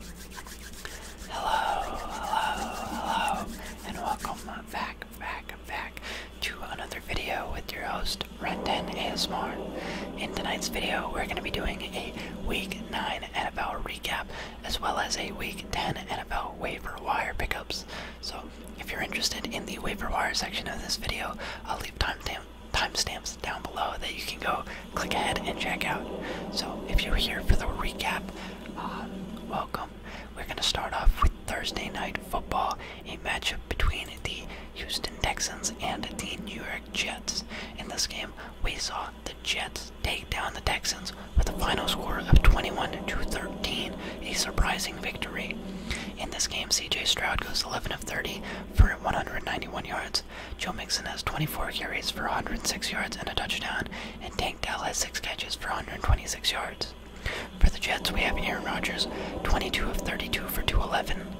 Hello, hello, hello, and welcome back, back, back to another video with your host, Renton ASMR. In tonight's video, we're going to be doing a Week 9 NFL recap, as well as a Week 10 NFL waiver wire pickups. So, if you're interested in the waiver wire section of this video, I'll leave timestamps time down below that you can go click ahead and check out. So, if you're here for the recap, uh, welcome. We're going to start off with Thursday Night Football, a matchup between the Houston Texans and the New York Jets. In this game, we saw the Jets take down the Texans with a final score of 21 to 13, a surprising victory. In this game, CJ Stroud goes 11 of 30 for 191 yards Joe Mixon has 24 carries for 106 yards and a touchdown, and Tank Dell has 6 catches for 126 yards. For the Jets, we have Aaron Rodgers, 22 of 32 for 211,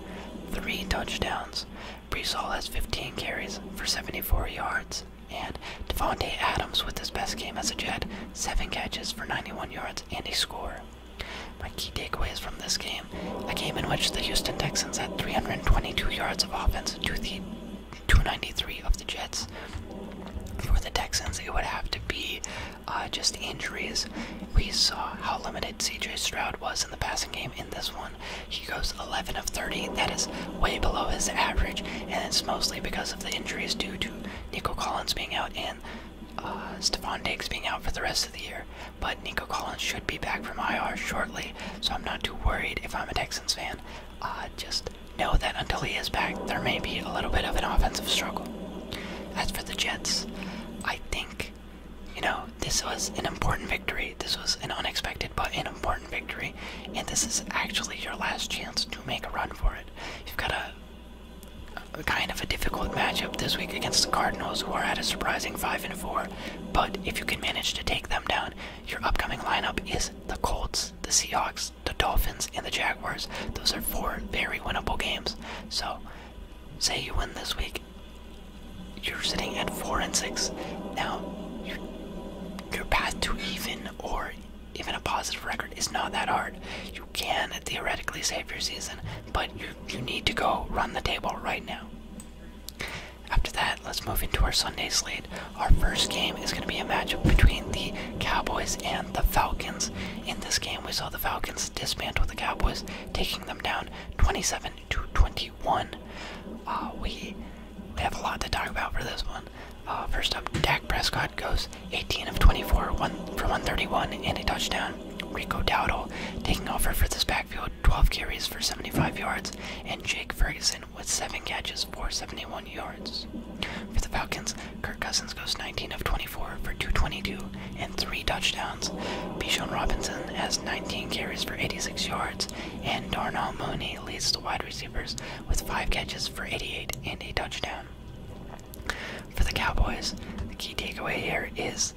3 touchdowns. Brees has 15 carries for 74 yards, and Devontae Adams with his best game as a Jet, 7 catches for 91 yards and a score. My key takeaway is from this game a game in which the Houston Texans had 322 yards of offense to the 293 of the Jets. For the Texans, it would have to be uh, just injuries. We saw how limited CJ Stroud was in the passing game in this one. He goes 11 of 30. That is way below his average, and it's mostly because of the injuries due to Nico Collins being out and uh, Stephon Diggs being out for the rest of the year. But Nico Collins should be back from IR shortly, so I'm not too worried if I'm a Texans fan. Uh, just know that until he is back, there may be a little bit of an offensive struggle. As for the Jets, I think, you know, this was an important victory. This was an unexpected but an important victory. And this is actually your last chance to make a run for it. You've got a, a kind of a difficult matchup this week against the Cardinals, who are at a surprising 5 and 4. But if you can manage to take them down, your upcoming lineup is the Colts, the Seahawks, the Dolphins, and the Jaguars. Those are four very winnable games. So, say you win this week, you're sitting at four and six. Now, your, path to even or even a positive record is not that hard. You can theoretically save your season, but you need to go run the table right now. After that, let's move into our Sunday slate. Our first game is going to be a matchup between the Cowboys and the Falcons. In this game, we saw the Falcons dismantle the Cowboys, taking them down 27 to 21. Uh, we we have a lot to talk about for this one. Uh, first up, Dak Prescott goes 18 of 24 one, for 131 and a touchdown. Rico Dowdle taking over for this backfield, 12 carries for 75 yards, and Jake Ferguson with seven catches for 71 yards. For the Falcons, Kirk Cousins goes 19 of 24 for 222 and three touchdowns. Bishon Robinson has 19 carries for 86 yards, and Darnell Mooney leads the wide receivers with five catches for 88 and a touchdown. For the Cowboys, the key takeaway here is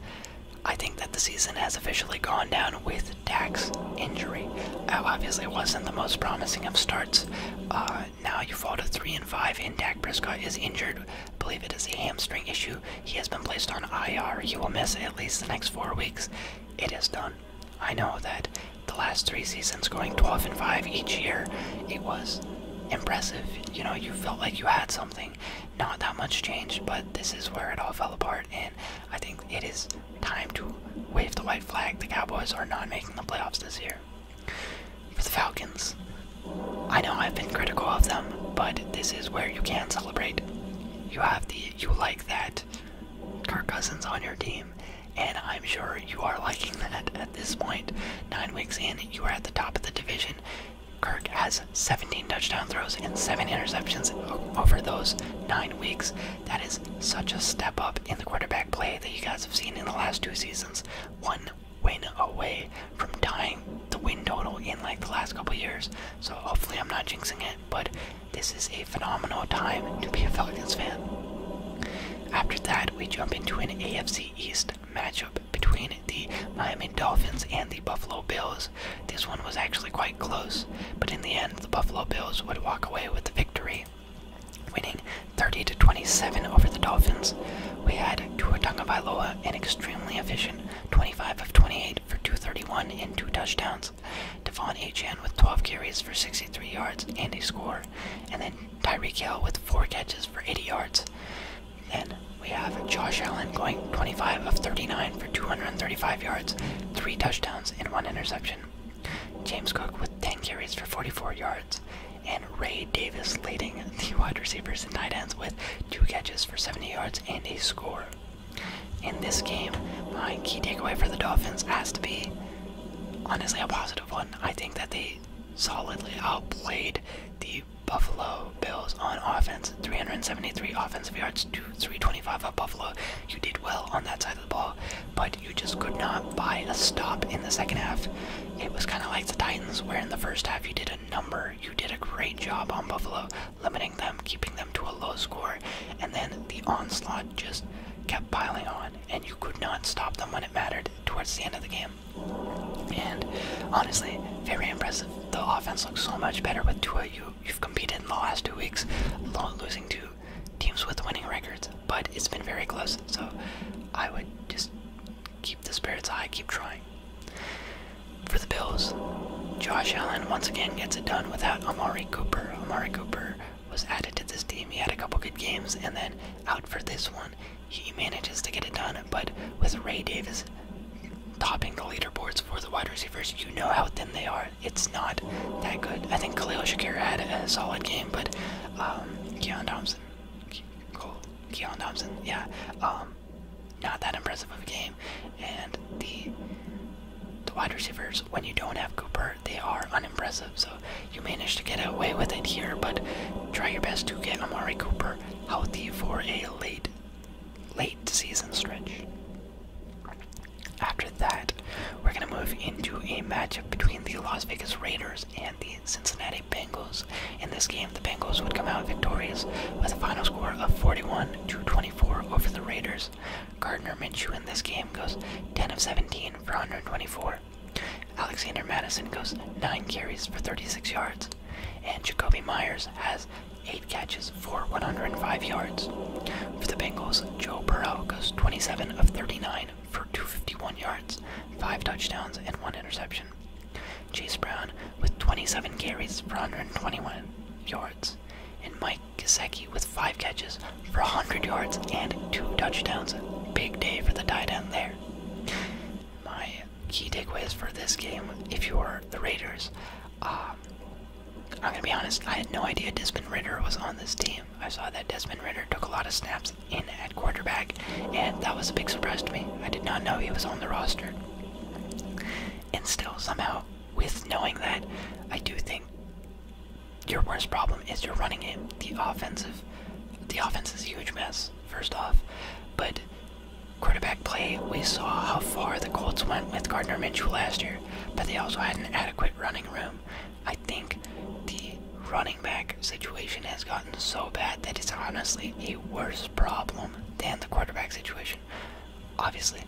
I think that the season has officially gone down with with Dak's injury. Oh, obviously, wasn't the most promising of starts. Uh, now you fall to three and five, and Dak Prescott is injured. believe it is a hamstring issue. He has been placed on IR. He will miss at least the next four weeks. It is done. I know that the last three seasons, going 12 and five each year, it was impressive. You know, you felt like you had something. Not that much changed, but this is where it all fell apart and I think it is time to wave the white flag. The Cowboys are not making the playoffs this year. For the Falcons, I know I've been critical of them, but this is where you can celebrate. You have the you like that Kirk Cousins on your team, and I'm sure you are liking that at this point. Nine weeks in, you are at the top of the division. Kirk has 17 touchdown throws and 7 interceptions over those 9 weeks. That is such a step up in the quarterback play that you guys have seen in the last two seasons. One win away from tying the win total in like the last couple years. So hopefully I'm not jinxing it, but this is a phenomenal time to be a Falcons fan. After that, we jump into an AFC East matchup between the Miami Dolphins and the Buffalo Bills. This one was actually quite close, but in the end, the Buffalo Bills would walk away with the victory, winning 30 to 27 over the Dolphins. We had Tua Tagovailoa, an extremely efficient 25 of 28 for 231 and two touchdowns. Devon Achan with 12 carries for 63 yards and a score, and then Tyreek Hill with four catches for 80 yards. Then we have Josh Allen going 25 of 39 235 yards, three touchdowns, and one interception. James Cook with 10 carries for 44 yards, and Ray Davis leading the wide receivers and tight ends with two catches for 70 yards and a score. In this game, my key takeaway for the Dolphins has to be honestly a positive one. I think that they solidly outplayed the Buffalo Bills on offense 373 offensive yards to 325 at Buffalo. You did well on that side of the ball, but you just could not buy a stop in the second half. It was kind of like the Titans, where in the first half you did a number. You did a great job on Buffalo, limiting them, keeping them to a low score, and then the onslaught just kept piling on, and you could not stop them when it mattered towards the end of the game. And honestly, very impressive. The offense looks so much better with Tua. You, you've competed in the last two weeks, losing two teams with winning records, but it's been very close. So I would just keep the spirits high, keep trying. For the Bills, Josh Allen once again gets it done without Amari Cooper. Amari Cooper was added to this team. He had a couple good games, and then out for this one, he manages to get it done. But with Ray Davis topping the leaderboards for the wide receivers, you know how thin they are it's not that good. I think Khalil Shakira had a solid game, but um, Keon Thompson, Keon Thompson, yeah, um, not that impressive of a game. And the the wide receivers, when you don't have Cooper, they are unimpressive. So you managed to get away with it here, but try your best to get Amari Cooper healthy for a late late season stretch. After that, we're going to move into a matchup between the Las Vegas Raiders and the Cincinnati Bengals. In this game, the Bengals would come out victorious with a final score of 41 to 24 over the Raiders. Gardner Minshew in this game goes 10 of 17 for 124. Alexander Madison goes 9 carries for 36 yards. And Jacoby Myers has eight catches for 105 yards. For the Bengals, Joe Burrow goes 27 of 39 for 251 yards, five touchdowns, and one interception. Chase Brown with 27 carries for 121 yards, and Mike Gesicki with five catches for 100 yards and two touchdowns. Big day for the tight end there. My key takeaways for this game, if you are the Raiders, uh, I'm gonna be honest. I had no idea Desmond Ritter was on this team. I saw that Desmond Ritter took a lot of snaps in at quarterback, and that was a big surprise to me. I did not know he was on the roster. And still, somehow, with knowing that, I do think your worst problem is you're running game. The offensive, the offense is a huge mess. First off, but quarterback play, we saw how far the Colts went with Gardner Minshew last year but they also had an adequate running room. I think the running back situation has gotten so bad that it's honestly a worse problem than the quarterback situation. Obviously,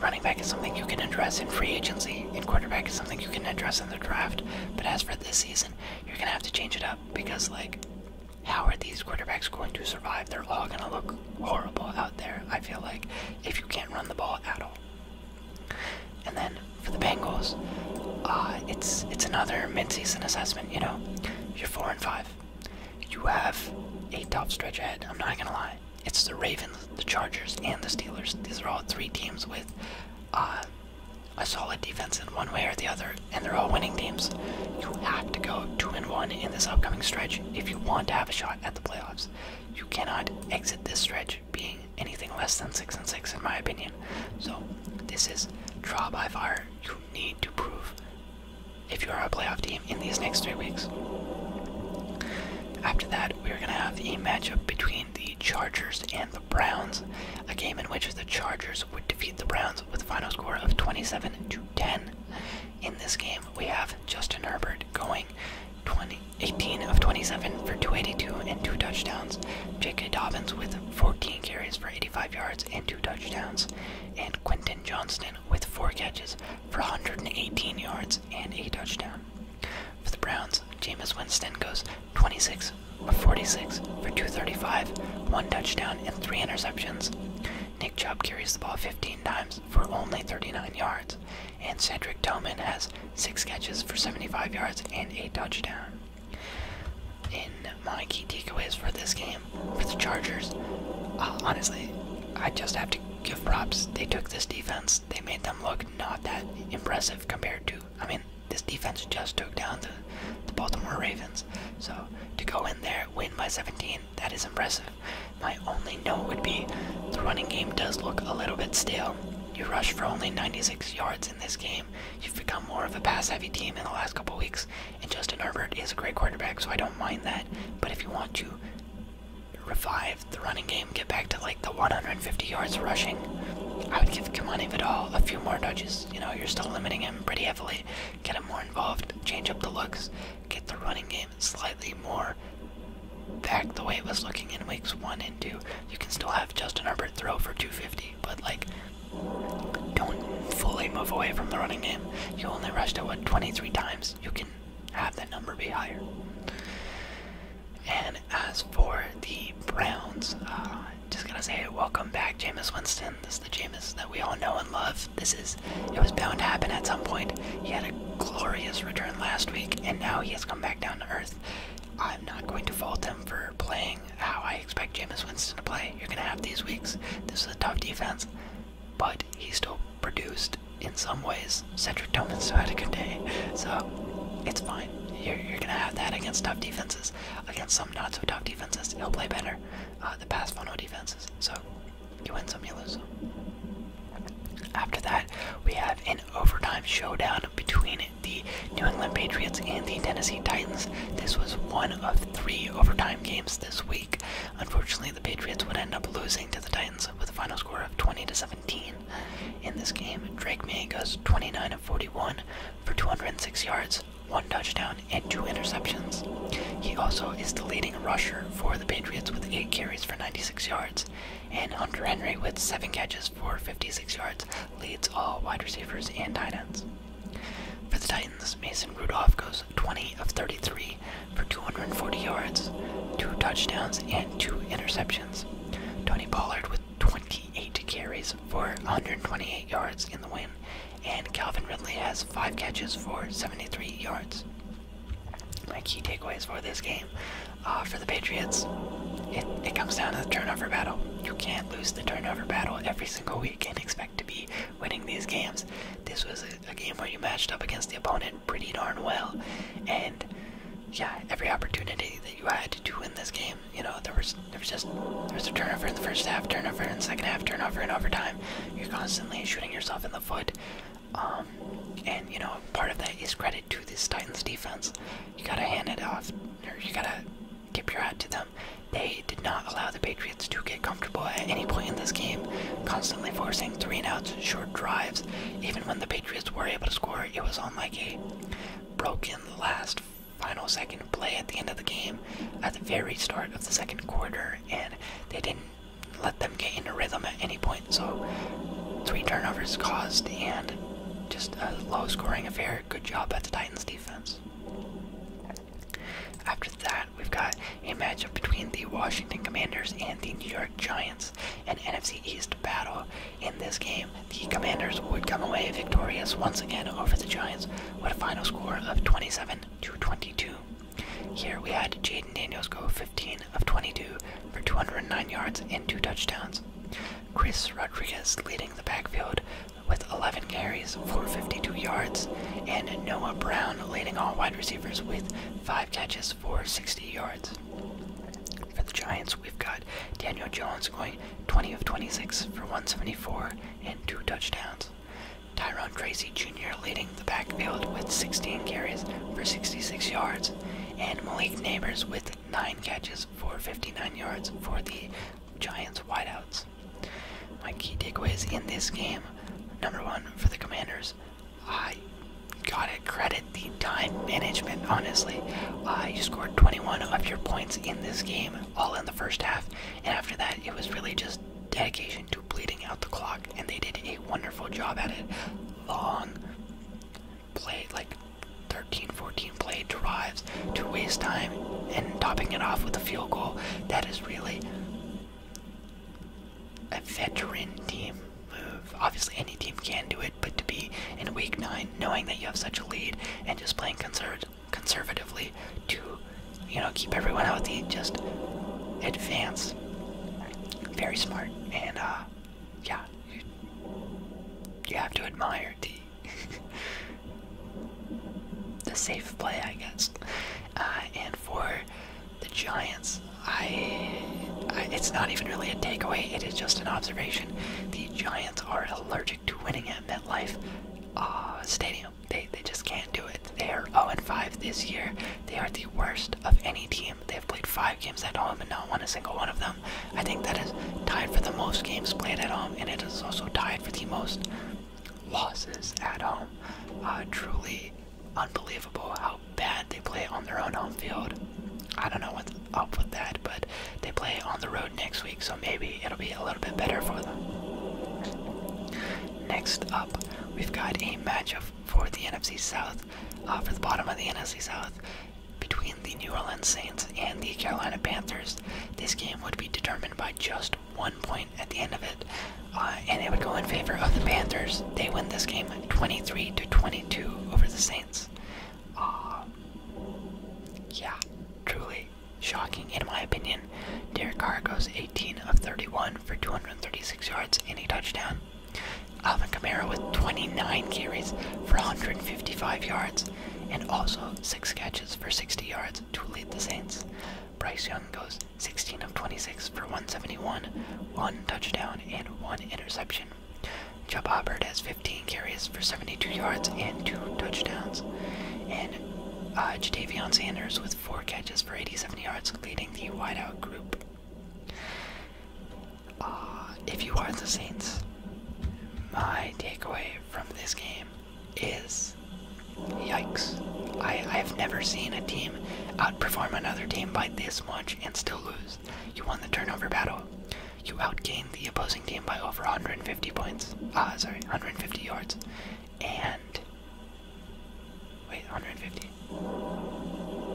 running back is something you can address in free agency, and quarterback is something you can address in the draft. But as for this season, you're gonna have to change it up because, like, how are these quarterbacks going to survive? They're all gonna look horrible out there. I feel like if you can't run the ball at all. And then for the Bengals, uh, it's it's another midseason assessment. You know, you're four and five. You have a tough stretch ahead. I'm not gonna lie. It's the Ravens, the Chargers, and the Steelers. These are all three teams with uh, a solid defense in one way or the other, and they're all winning teams. You have to go two and one in this upcoming stretch if you want to have a shot at the playoffs. You cannot exit this stretch being anything less than six and six, in my opinion. So this is draw by fire. You need to prove if you are a playoff team in these next three weeks. After that, we are going to have a matchup between the Chargers and the Browns, a game in which the Chargers would defeat the Browns with a final score of 27 to 10. In this game, we have Justin Herbert going 18 of 27 for 282 and two touchdowns. J.K. Dobbins with 14 carries for 85 yards and two touchdowns. And Quentin Johnston with four catches for 118 yards and a touchdown. For the Browns, Jameis Winston goes 26 of 46 for 235, one touchdown, and three interceptions. Nick Chubb carries the ball 15 times for only 39 yards and Cedric Tillman has six catches for 75 yards and a touchdown. In my key takeaways for this game, for the Chargers, uh, honestly, I just have to give props. They took this defense, they made them look not that impressive compared to. I mean, this defense just took down the Baltimore Ravens. So to go in there, win by 17, that is impressive. My only note would be the running game does look a little bit stale. You rush for only 96 yards in this game. You've become more of a pass-heavy team in the last couple weeks, and Justin Herbert is a great quarterback, so I don't mind that. But if you want to revive the running game, get back to like the 150 yards rushing, I would give Kamani all a few more touches. You know, you're still limiting him pretty heavily. Get him more involved, change up the looks, get the running game slightly more back the way it was looking in weeks one and two. You can still have Justin Herbert throw for 250, but like, don't fully move away from the running game. You only rushed it, what, 23 times? You can have that number be higher. And as for the Browns, uh, just gonna say welcome back, Jameis Winston. This is the Jameis that we all know and love. This is it was bound to happen at some point. He had a glorious return last week, and now he has come back down to earth. I'm not going to fault him for playing how I expect Jameis Winston to play. You're going to have these weeks. This is a tough defense, but he still produced in some ways. Cedric Thomas had a good day, so it's fine. You're, going to have that against tough defenses. Against some not so tough defenses, he'll play better. Uh, the past funnel defenses. So you win some, you lose some. After that, we have an overtime showdown between the New England Patriots and the Tennessee Titans. This was one of three overtime games this week. Unfortunately, the Patriots would end up losing to the Titans with a final score of 20 to 17. In this game, Drake May goes 29 of 41 for 206 yards, one touchdown, and two interceptions. He also is the leading rusher for the Patriots with eight carries for 96 yards. And under Henry, with seven catches for 56 yards, leads all wide receivers and Titans. For the Titans, Mason Rudolph goes 20 of 33 for 240 yards, two touchdowns, and two interceptions. Tony Pollard with 28 carries for 128 yards in the win, and Calvin Ridley has five catches for 73 yards my key takeaways for this game uh, for the Patriots, it, comes down to the turnover battle. You can't lose the turnover battle every single week and expect to be winning these games. This was a game where you matched up against the opponent pretty darn well, and yeah, every opportunity that you had to win this game, you know, there was there was just there was a turnover in the first half, turnover in the second half, turnover in overtime. You're constantly shooting yourself in the foot. Um, and you know, part of that is credit to this Titans defense. You gotta hand it off, or you gotta tip your hat to them. They did not allow the Patriots to get comfortable at any point in this game, constantly forcing three and outs, short drives. Even when the Patriots were able to score, it was on like a broken last final second play at the end of the game, at the very start of the second quarter, and they didn't let them get into rhythm at any point. So three turnovers caused and just a low scoring affair. Good job at the Titans defense. After that, we've got a matchup between the Washington Commanders and the New York Giants, an NFC East battle. In this game, the Commanders would come away victorious once again over the Giants with a final score of 27 to 22. Here we had Jaden Daniels go 15 of 22 for 209 yards and two touchdowns. Chris Rodriguez leading the backfield with 11 carries for 52 yards, and Noah Brown leading all wide receivers with 5 catches for 60 yards. For the Giants, we've got Daniel Jones going 20 of 26 for 174 and two touchdowns. Tyrone Tracy Jr. leading the backfield with 16 carries for 66 yards, and Malik Neighbors with 9 catches for 59 yards for the Giants wideouts. My key takeaways in this game number one, for the Commanders, I gotta credit the time management, honestly. Uh, you scored 21 of your points in this game, all in the first half, and after that, it was really just dedication to bleeding out the clock, and they did a wonderful job at it. Long play, like 13, 14 play drives to waste time, and topping it off with a field goal. That is really a veteran team move. Obviously, any team can do it, but to be in week nine, knowing that you have such a lead, and just playing conservatively to, you know, keep everyone healthy, just advance very smart, and uh, yeah, you, have to admire the safe play, I guess. Uh, and for the Giants, I, it's not even really a takeaway; it is just an observation. The Giants are allergic to winning at MetLife uh, Stadium. They they just can't do it. They are 0 5 this year. They are the worst of any team they have played five games at home and not won a single one of them. I think that is tied for the most games played at home, and it is also tied for the most losses at home. Uh, truly unbelievable how bad they play on their own home field. I don't know what's up with that, but they play on the road next week, so maybe it'll be a little bit better for them. Next up, we've got a match of for the NFC South, uh, for the bottom of the NFC South, between the New Orleans Saints and the Carolina Panthers. This game would be determined by just one point at the end of it, uh, and it would go in favor of the Panthers. They win this game 23 to 22 over the Saints. Uh, yeah, truly shocking in my opinion. Derek Carr goes 18 of 31 for 236 yards and a touchdown. Alvin Kamara with 29 carries for 155 yards and also 6 catches for 60 yards to lead the Saints. Bryce Young goes 16 of 26 for 171, 1 touchdown, and 1 interception. Chubb Hubbard has 15 carries for 72 yards and 2 touchdowns. And uh, Jadavion Sanders with 4 catches for 87 yards, leading the wideout group. Uh, if you are the Saints, my takeaway from this game is yikes. I, have never seen a team outperform another team by this much and still lose. You won the turnover battle. You outgained the opposing team by over 150 points. Ah, sorry, 150 yards. And Wait, 150.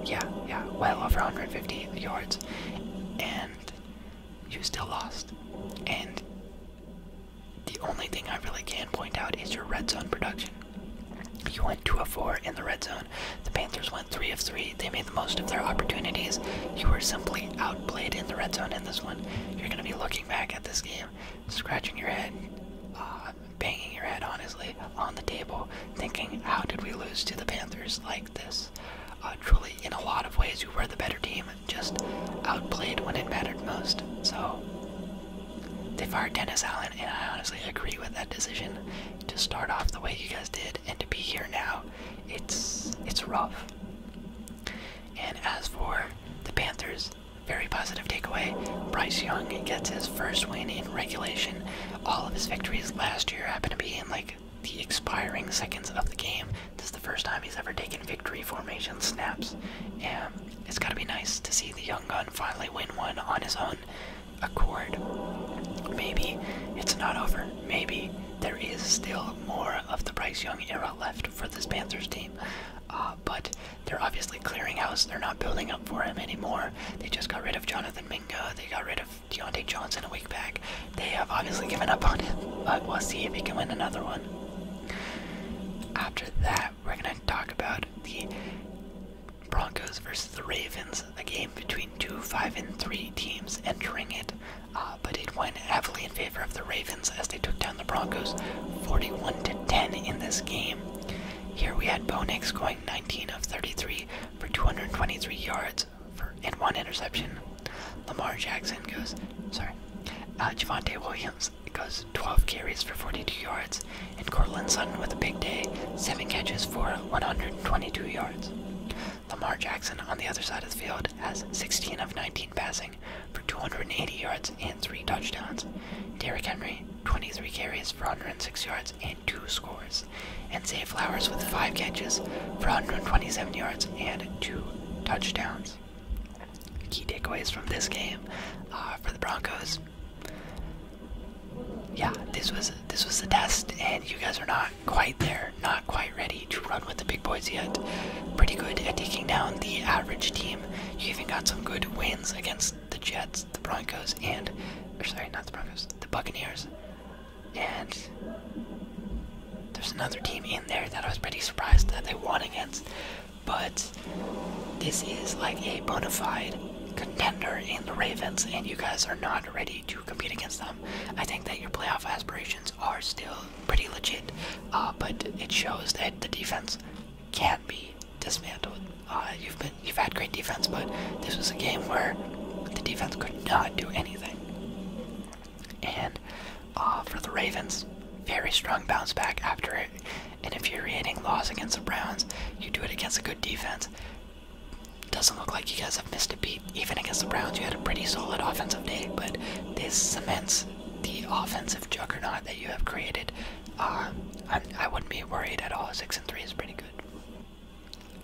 Yeah, yeah, well over 150 yards. And you still lost. And the only thing I really can point out is your red zone production. You went 2 of 4 in the red zone. The Panthers went 3 of 3. They made the most of their opportunities. You were simply outplayed in the red zone in this one. You're going to be looking back at this game, scratching your head, uh, banging your head honestly on the table, thinking, how did we lose to the Panthers like this? Uh, truly, in a lot of ways, we were the better team, just outplayed when it mattered most. So they fired Dennis Allen, and I honestly agree with that decision. To start off the way you guys did, and to be here now, it's it's rough. And as for the Panthers, very positive takeaway. Bryce Young gets his first win in regulation all of his victories last year happened to be in like the expiring seconds of the game. This is the first time he's ever taken victory formation snaps, and it's got to be nice to see the young gun finally win one on his own accord. Maybe it's not over. Maybe there is still more of the Bryce Young era left for this Panthers team, uh, but they're obviously obviously clearing house. They're not building up for him anymore. They just got rid of Jonathan Minga. They got rid of Deontay Johnson a week back. They have obviously given up on him, but we'll see if he can win another one. After that, we're going to talk about the Broncos versus the Ravens, a game between two, five, and three teams entering it, uh, but it went heavily in favor of the Ravens as they took down the Broncos 41 to 10 in this game. Here we had Bo Nix going 19 of 33 for 223 yards and one interception. Lamar Jackson goes, sorry, uh, Javante Williams goes 12 carries for 42 yards, and Cortland Sutton with a big day, seven catches for 122 yards. Lamar Jackson on the other side of the field has 16 of 19 passing for 280 yards and three touchdowns. Derrick Henry, 23 carries for 106 yards and two scores, and Zay Flowers with five catches for 127 yards and two touchdowns. Key takeaways from this game uh, for the Broncos. Yeah, this was this was the test, and you guys are not quite there, not quite ready to run with the big boys yet. Pretty good at taking down the average team. You even got some good wins against the Jets the Broncos and, sorry, not the Broncos, the Buccaneers. And there's another team in there that I was pretty surprised that they won against. But this is like a bona fide contender in the Ravens, and you guys are not ready to compete against them. I think that your playoff aspirations are still pretty legit, uh, but it shows that the defense can not be dismantled. Uh, you've been you've had great defense, but this was a game where the defense could not do anything. And uh, for the Ravens, very strong bounce back after an infuriating loss against the Browns. You do it against a good defense. Doesn't look like you guys have missed a beat. Even against the Browns, you had a pretty solid offensive day, but this cements the offensive juggernaut that you have created. Um, I would not be worried at all. Six and three is pretty good.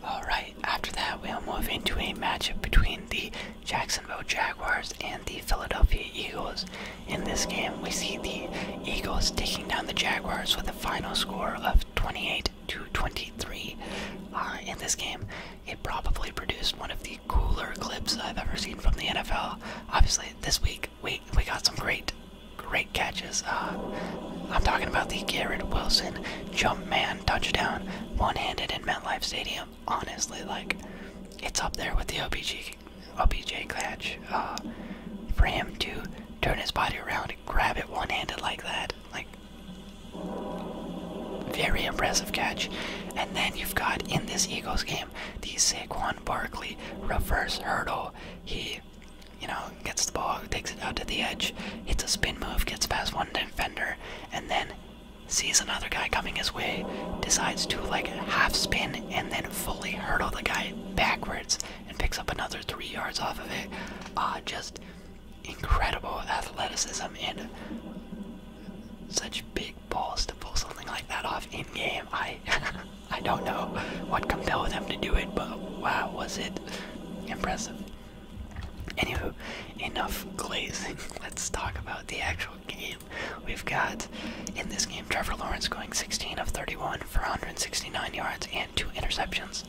Alright, after that, we'll move into a matchup between the Jacksonville Jaguars and the Philadelphia Eagles. In this game, we see the Eagles taking down the Jaguars with a final score of 28 to 23. Uh, in this game, it probably produced one of the cooler clips I've ever seen from the NFL. Obviously, this week we we got some great, great catches. Uh, I'm talking about the Garrett Wilson jump man touchdown, one-handed in MetLife Stadium. Honestly, like it's up there with the OBG, OBJ catch. Uh, for him to turn his body around and grab it one-handed like that, like very impressive catch. And then you've got in this Eagles game the Saquon Barkley reverse hurdle. He you know, gets the ball, takes it out to the edge, hits a spin move, gets past one defender, and then sees another guy coming his way, decides to like half spin and then fully hurdle the guy backwards and picks up another three yards off of it. Ah, just incredible athleticism and such big balls to pull something like that off in game. I I don't know what compelled them to do it, but wow, was it impressive. Anywho, enough glazing. Let's talk about the actual game. We've got in this game Trevor Lawrence going 16 of 31 for 169 yards and two interceptions.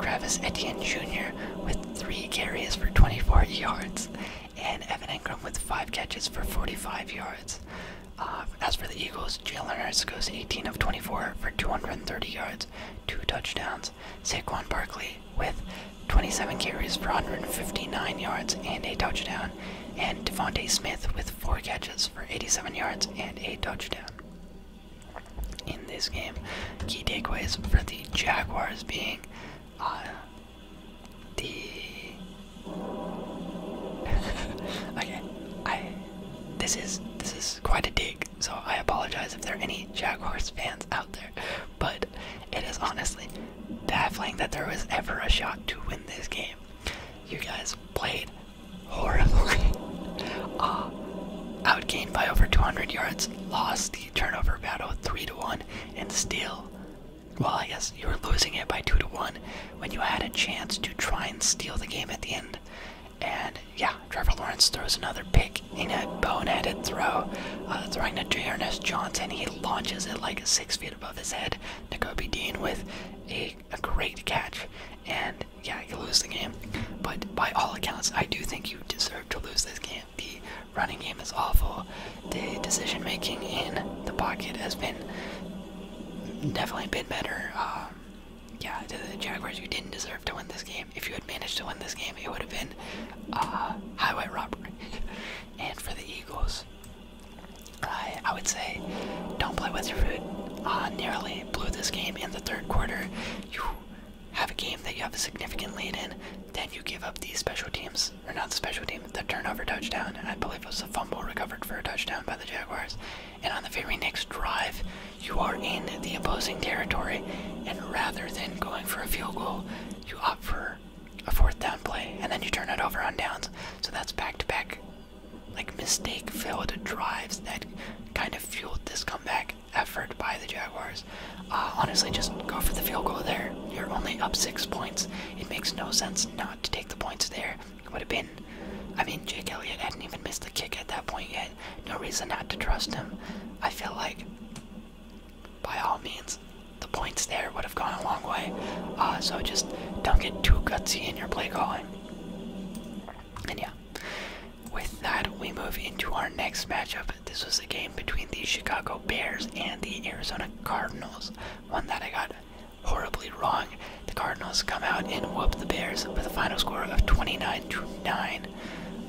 Travis Etienne Jr. with three carries for 24 yards, and Evan Ingram with five catches for 45 yards. Uh, as for the Eagles, Jalen Hurts goes 18 of 24 for 230 yards, two touchdowns. Saquon Barkley with 27 carries for 159 yards and a touchdown, and Devonte Smith with four catches for 87 yards and a touchdown. In this game, key takeaways for the Jaguars being uh, the. okay, I this is this is quite a dig. So I apologize if there are any Jaguars fans out there, but it is honestly baffling that there was ever a shot to win this game. You guys played horribly. uh, outgained by over 200 yards, lost the turnover battle 3 to 1, and still, well, yes, you were losing it by 2 to 1 when you had a chance to try and steal the game at the end. And yeah, Trevor Lawrence throws another pick in a boneheaded throw, uh, throwing to Dearness Johnson. He launches it like six feet above his head. Nicobe Dean with a, great catch. And yeah, you lose the game. But by all accounts, I do think you deserve to lose this game. The running game is awful. The decision making in the pocket has been definitely been better. Um, yeah, to the Jaguars, you didn't deserve to win this game. If you had managed to win this game, it would have been uh, highway robbery. and for the Eagles, I, I would say don't play with your food. Uh, nearly blew this game in the third quarter. You have a game that you have a significant lead in, then you give up these special teams, or not the special team, the turnover touchdown. I believe it was a fumble recovered for a touchdown by the Jaguars and on the very next drive, you are in the opposing territory, and rather than going for a field goal, you opt for a fourth down play, and then you turn it over on downs. So that's back to back, like mistake filled drives that kind of fueled this comeback effort by the Jaguars. Uh, honestly, just go for the field goal there. You're only up six points. It makes no sense not to take the points there would have been. I mean, Jake Elliott hadn't even missed a kick at that point yet. No reason not to trust him. I feel like, by all means, the points there would have gone a long way. Uh, so just don't get too gutsy in your play calling. And yeah, with that, we move into our next matchup. This was a game between the Chicago Bears and the Arizona Cardinals, one that I got horribly wrong the Cardinals come out and whoop the Bears with a final score of 29 9.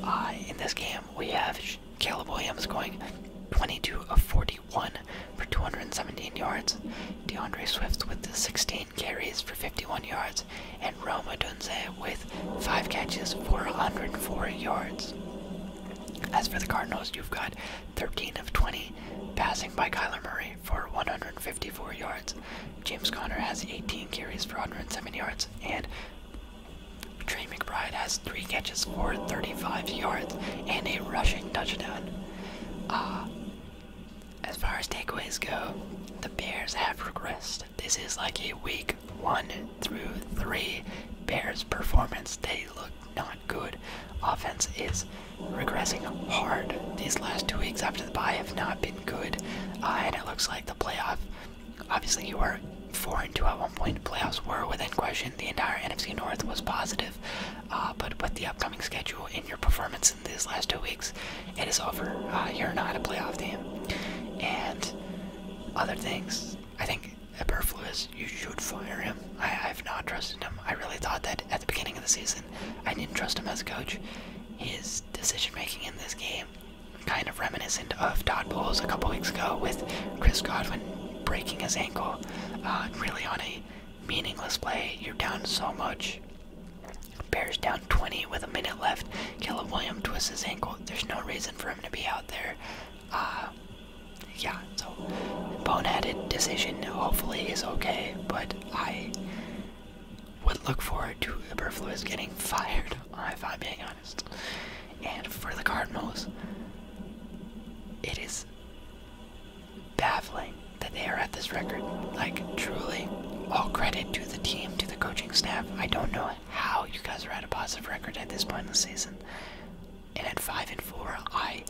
Uh, in this game, we have Caleb Williams going 22 of 41 for 217 yards, DeAndre Swift with 16 carries for 51 yards, and Roma Dunze with 5 catches for 104 yards. As for the Cardinals, you've got 13 of 20 passing by Kyler Murray for 154 yards. James Conner has 18 carries for 107 yards, and Trey McBride has three catches for 35 yards and a rushing touchdown. Uh, as far as takeaways go, the Bears have regressed. This is like a week one through three Bears performance. They look not good. Offense is regressing hard. These last two weeks after the bye have not been good, uh, and it looks like the playoff. Obviously, you were four and two at one point. Playoffs were within question. The entire NFC North was positive, uh, but with the upcoming schedule and your performance in these last two weeks, it is over. Uh, you're not a playoff team, and other things. I think superfluous. you should fire him. I've not trusted him. I really thought that at the beginning of the season, I didn't trust him as a coach. His decision making in this game, kind of reminiscent of Todd Bowles a couple weeks ago with Chris Godwin breaking his ankle, uh, really on a meaningless play. You're down so much. Bears down 20 with a minute left. Caleb Williams twists his ankle. There's no reason for him to be out there. Uh, yeah, so boneheaded decision hopefully he's okay, but I would look forward to Eberflus getting fired, if I'm being honest. And for the Cardinals, it is baffling that they are at this record. Like, truly, all credit to the team, to the coaching staff. I don't know how you guys are at a positive record at this point in the season. And at five and four, I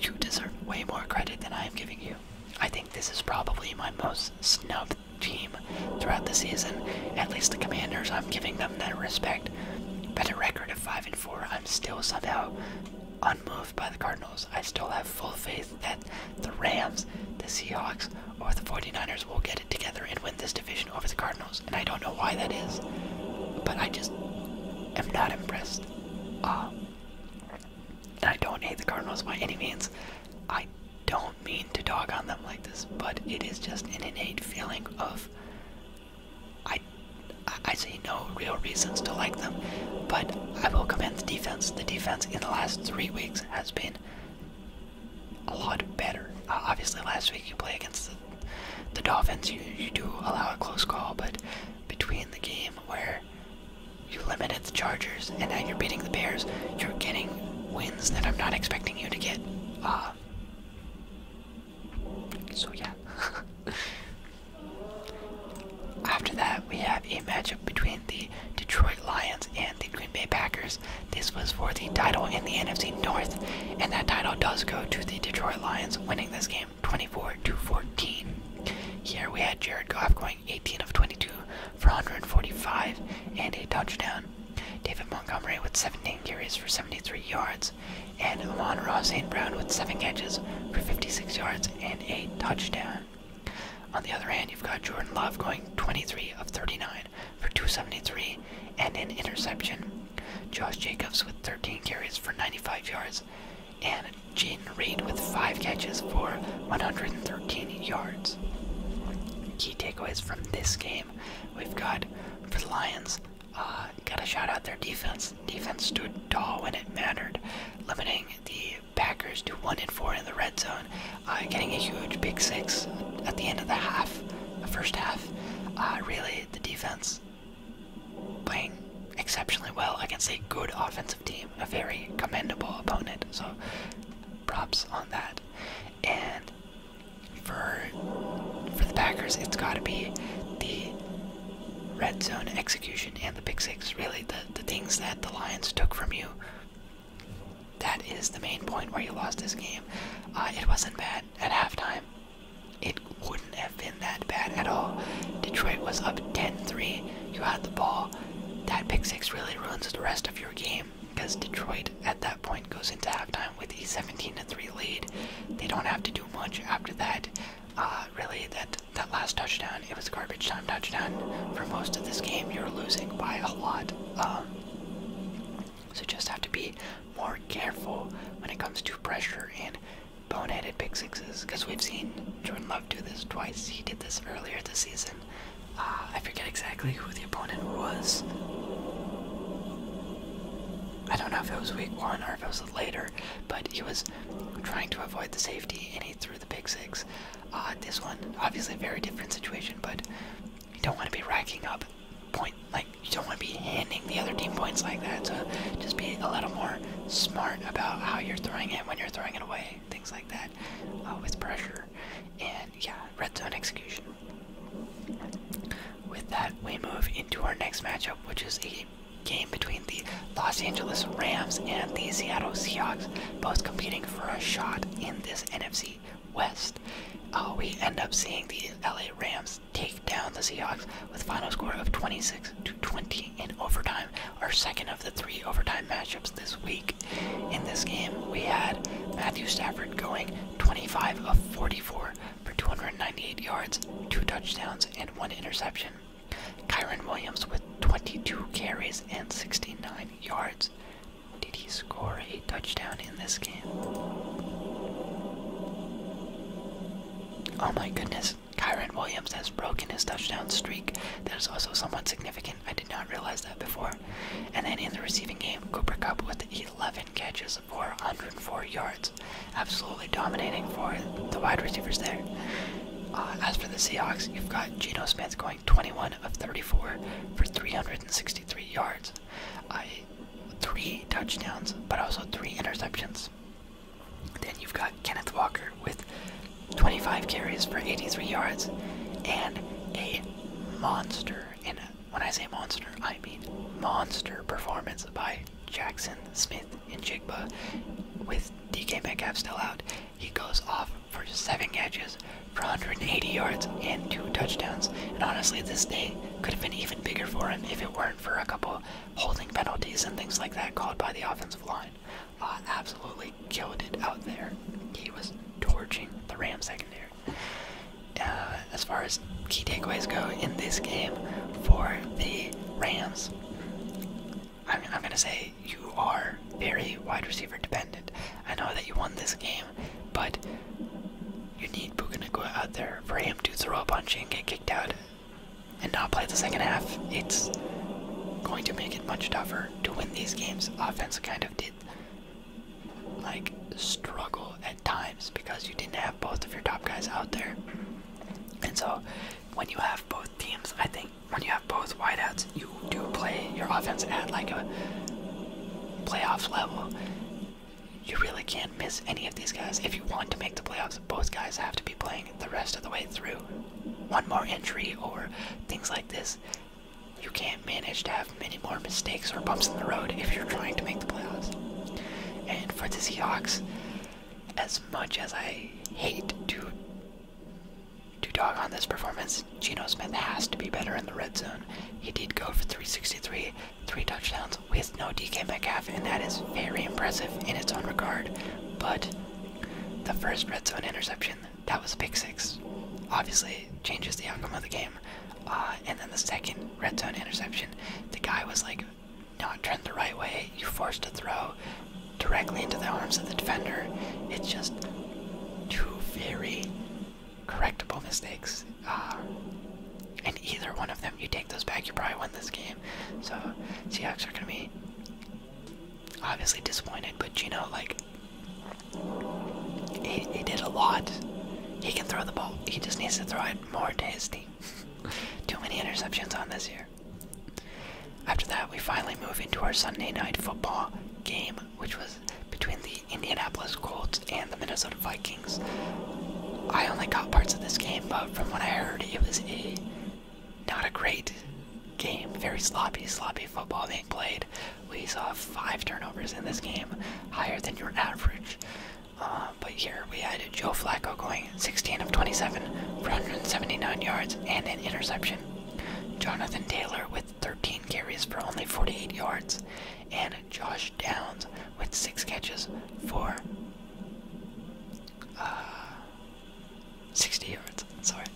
you deserve way more credit than I am giving you. I think this is probably my most snubbed team throughout the season. At least the Commanders, I'm giving them that respect. But a record of five and four, I'm still somehow unmoved by the Cardinals. I still have full faith that the Rams, the Seahawks, or the 49ers will get it together and win this division over the Cardinals. And I don't know why that is, but I just am not impressed. Uh, and I don't hate the Cardinals by any means. I don't mean to dog on them like this, but it is just an innate feeling of I I see no real reasons to like them, but I will commend the defense. The defense in the last three weeks has been a lot better. Uh, obviously, last week you play against the, the Dolphins, you, you do allow a close call, but between the game where you limited the Chargers, and now you're beating the Bears. You're getting wins that I'm not expecting you to get. Ah. so, yeah. After that, we have a matchup between the Detroit Lions and the Green Bay Packers. This was for the title in the NFC North, and that title does go to the Detroit Lions, winning this game 24 14. Here we had Jared Goff going 18 of 22 for 145 and a touchdown. David Montgomery with 17 carries for 73 yards, and Amon Ross St. Brown with 7 catches for 56 yards and a touchdown. On the other hand, you've got Jordan Love going 23 of 39 for 273 and an interception. Josh Jacobs with 13 carries for 95 yards and Jaden Reed with five catches for 113 yards. Key takeaways from this game we've got for the Lions. Uh, got a shout out their defense. Defense stood tall when it mattered, limiting the Packers to one in four in the red zone, uh, getting a huge big six at the end of the half, first half. Uh, really, the defense playing exceptionally well against a good offensive team a very commendable opponent. So props on that. And for for the Packers, it's got to be the red zone execution and the pick six. Really, the the things that the Lions took from you. That is the main point where you lost this game. Uh, it wasn't bad at halftime. It wouldn't have been that bad at all. Detroit was up 10 3. You had the ball that pick six really ruins the rest of your game because Detroit at that point goes into halftime with a 17 3 lead. They don't have to do much after that. Uh, really, that, that last touchdown, it was garbage time touchdown. For most of this game, you're losing by a lot. Um, so just have to be more careful when it comes to pressure and boneheaded pick sixes because we've seen Jordan Love do this twice. He did this earlier this season. Uh, I forget exactly who the opponent was. I don't know if it was week one or if it was later, but he was trying to avoid the safety and he threw the big six. Uh, this one, obviously, a very different situation, but you don't want to be racking up point like you don't want to be handing the other team points like that. So just be a little more smart about how you're throwing it when you're throwing it away things like that, uh, with pressure, and yeah, red zone execution. With that, we move into our next matchup, which is a game between the Los Angeles Rams and the Seattle Seahawks, both competing for a shot in this NFC West. Uh, we end up seeing the LA Rams take down the Seahawks with final score of 26 to 20 in overtime our second of the three overtime matchups this week. In this game, we had Matthew Stafford going 25 of 44 for 298 yards, two touchdowns, and one interception. Kyron Williams with 22 carries and 69 yards. Did he score a touchdown in this game? Oh my goodness, Kyron Williams has broken his touchdown streak. That is also somewhat significant I did not realize that before. And then in the receiving game, Cooper Cup with 11 catches for 104 yards. Absolutely dominating for the wide receivers there. Uh, as for the Seahawks, you've got Geno Smith going 21 of 34 for 363 yards. three touchdowns, but also three interceptions. Then you've got Kenneth Walker with 25 carries for 83 yards, and a monster. And when I say monster, I mean monster performance by Jackson Smith and Jigba. With DK Metcalf still out, he goes off for seven catches for 180 yards and two touchdowns. And honestly, this day could have been even bigger for him if it weren't for a couple holding penalties and things like that called by the offensive line absolutely killed it out there. He was torching the Rams secondary. Uh, as far as key takeaways go in this game for the Rams, I'm, going to say you are very wide receiver dependent. I know that you won this game, but you need Puka Nakua out there for him to throw a punch and get kicked out and not play the second half. It's going to make it much tougher to win these games. Offense kind of did like struggle at times because you didn't have both of your top guys out there. And so when you have both teams, I think when you have both wideouts, you do play your offense at like a playoff level. You really can't miss any of these guys. If you want to make the playoffs, both guys have to be playing the rest of the way through. One more entry or things like this you can't manage to have many more mistakes or bumps in the road if you're trying to make the playoffs. And for the Seahawks, as much as I hate to to dog on this performance, Geno Smith has to be better in the red zone. He did go for 363, three touchdowns with no DK Metcalf, and that is very impressive in its own regard. But the first red zone interception that was a pick six. Obviously, changes the outcome of the game. Uh, and then the second red zone interception, the guy was like not turned the right way. You are forced to throw directly into the arms of the defender. It's just two very correctable mistakes. Uh, and either one of them, you take those back, you probably win this game. So Seahawks are going to be obviously disappointed, but you know, like, he, did a lot. He can throw the ball. He just needs to throw it more to his team. Too many interceptions on this year. After that, we finally move into our Sunday night football game, which was between the Indianapolis Colts and the Minnesota Vikings. I only caught parts of this game, but from what I heard, it was a not a great game. Very sloppy, sloppy football being played. We saw five turnovers in this game, higher than your average. Uh, but here we had Joe Flacco going 16 of 27 for 179 yards and an interception. Jonathan Taylor with 13 carries for only 48 yards, and Josh Downs with six catches for uh, 60 yards, sorry.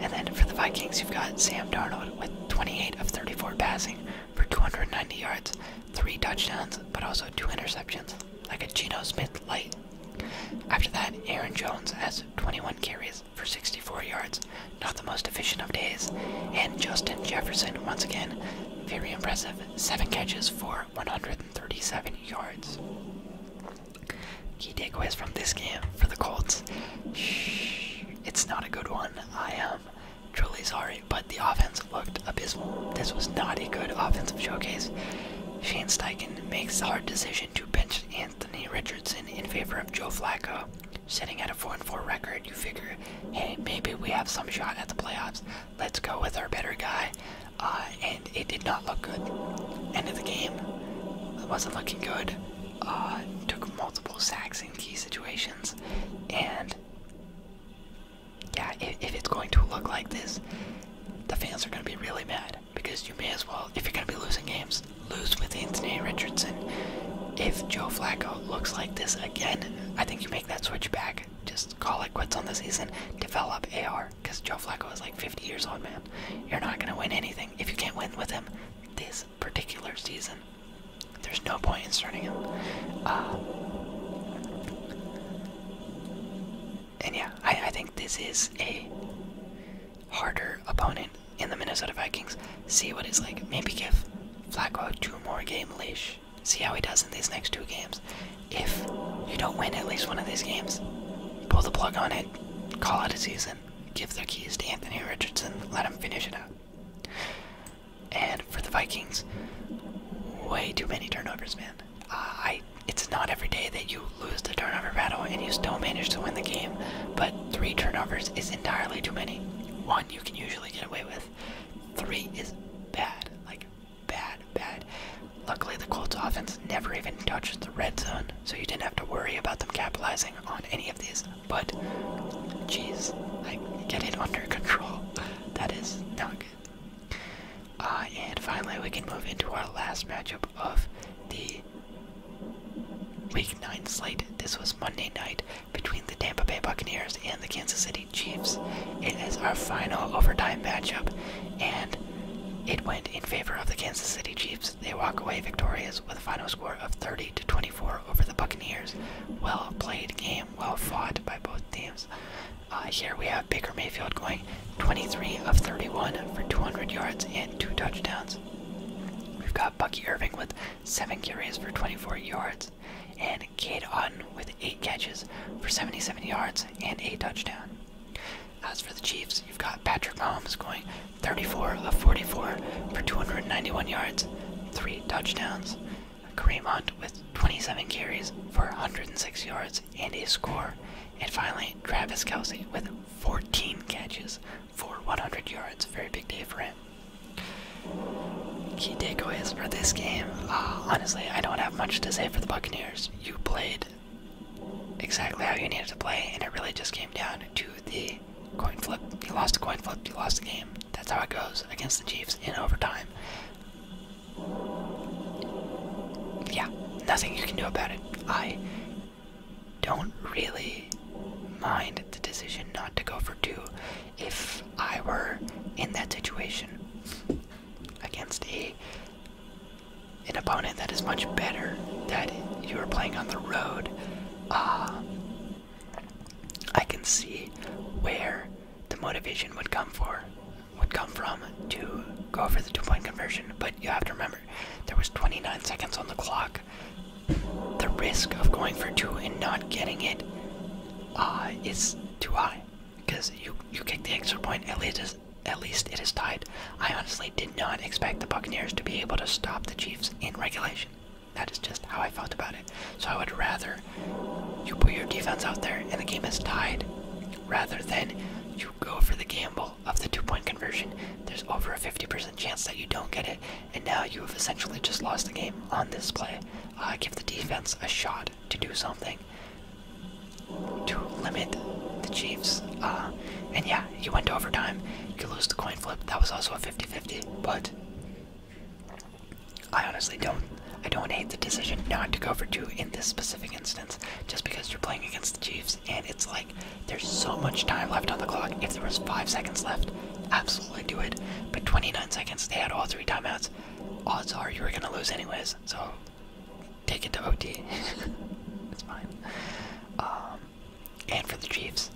And then for the Vikings, you've got Sam Darnold with 28 of 34 passing for 290 yards, three touchdowns, but also two interceptions, like a Geno Smith light. After that, Aaron Jones has 21 carries for 64 yards, not the most efficient of days, and Justin Jefferson, once again, very impressive, 7 catches for 137 yards. Key takeaways from this game for the Colts. it's not a good one. I am um, truly sorry, but the offense looked abysmal. This was not a good offensive showcase. Shane Steichen makes the hard decision to bench Anthony Richardson in favor of Joe Flacco. Sitting at a 4 4 record, you figure, hey, maybe we have some shot at the playoffs. Let's go with our better guy. Uh, and it did not not look good. End of the game, it wasn't looking good. Uh, took multiple sacks in key situations, and yeah, if, if it's going to look like this, the fans are going to be really mad because you may as well, if you're going to be losing games, lose with Anthony Richardson. If Joe Flacco looks like this again, I think you make that switch back. Just call it quits on the season. Develop AR because Joe Flacco is like 50 years old, man. You're not going to win anything if you can't win with him this particular season. There's no point in starting him. Uh, and yeah, I, think this is a harder opponent in the Minnesota Vikings. See what it's like. Maybe give Flacco two more game leash. See how he does in these next two games. If you don't win at least one of these games, pull the plug on it, call it a season give their keys to Anthony Richardson, let him finish it out. And for the Vikings, way too many turnovers, man. Uh, it's not every day that you lose the turnover battle and you still manage to win the game, but three turnovers is entirely too many. One you can usually get away with. Three is bad, like bad, bad. Luckily, the Colts offense never even touches the red zone so you didn't have to worry about them capitalizing on any of these. But, jeez, like get it under control. That is not good. Uh, and finally, we can move into our last matchup of the Week 9 slate. This was Monday night between the Tampa Bay Buccaneers and the Kansas City Chiefs. It is our final overtime matchup, and it went in favor of the Kansas City Chiefs they walk away victorious with a final score of 30 to 24 over the Buccaneers. Well played game, well fought by both teams. Uh, here we have Baker Mayfield going 23 of 31 for 200 yards and two touchdowns. We've got Bucky Irving with seven carries for 24 yards, and Kade Otten with eight catches for 77 yards and a touchdown. As for the Chiefs, you've got Patrick Mahomes going 34 of 44 for 291 yards, three touchdowns. Kareem Hunt with 27 carries for 106 yards and a score. And finally, Travis Kelsey with 14 catches for 100 yards. Very big day for him. Key takeaways for this game. Uh, honestly, I don't have much to say for the Buccaneers. You played exactly how you needed to play, and it really just came down to the coin flip. You lost the coin flip, you lost the game. That's how it goes against the Chiefs in overtime. Yeah, nothing you can do about it. I don't really mind the decision not to go for two if I were in that situation against a an opponent that is much better that you are playing on the road, uh, I can see where the motivation would come for would come from to go for the two-point conversion. But you have to remember, there was 29 seconds on the clock. The risk of going for two and not getting it uh, is too high because you you kick the extra point. At at least it is tied. I honestly did not expect the Buccaneers to be able to stop the Chiefs in regulation. That is just how I felt about it. So I would rather you put your defense out there and the game is tied rather than you go for the gamble of the two point conversion. There's over a 50% chance that you don't get it, and now you have essentially just lost the game on this play. give the defense a shot to do something to limit the Chiefs. Uh, and yeah, you went to overtime. You lose the coin flip. That was also a 50-50, but I honestly don't. I don't hate the decision not to go for two in this specific instance, just because you're playing against the Chiefs, and it's like there's so much time left on the clock. If there was five seconds left, absolutely do it. But 29 seconds, they had all three timeouts. Odds are you were gonna lose anyways, so take it to OT. it's fine. Um, and for the Chiefs.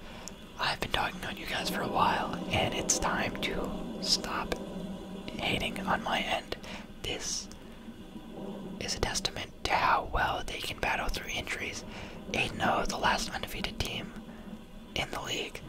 I've been talking on you guys for a while, and it's time to stop hating on my end. This is a testament to how well they can battle through injuries. 8 0, the last undefeated team in the league.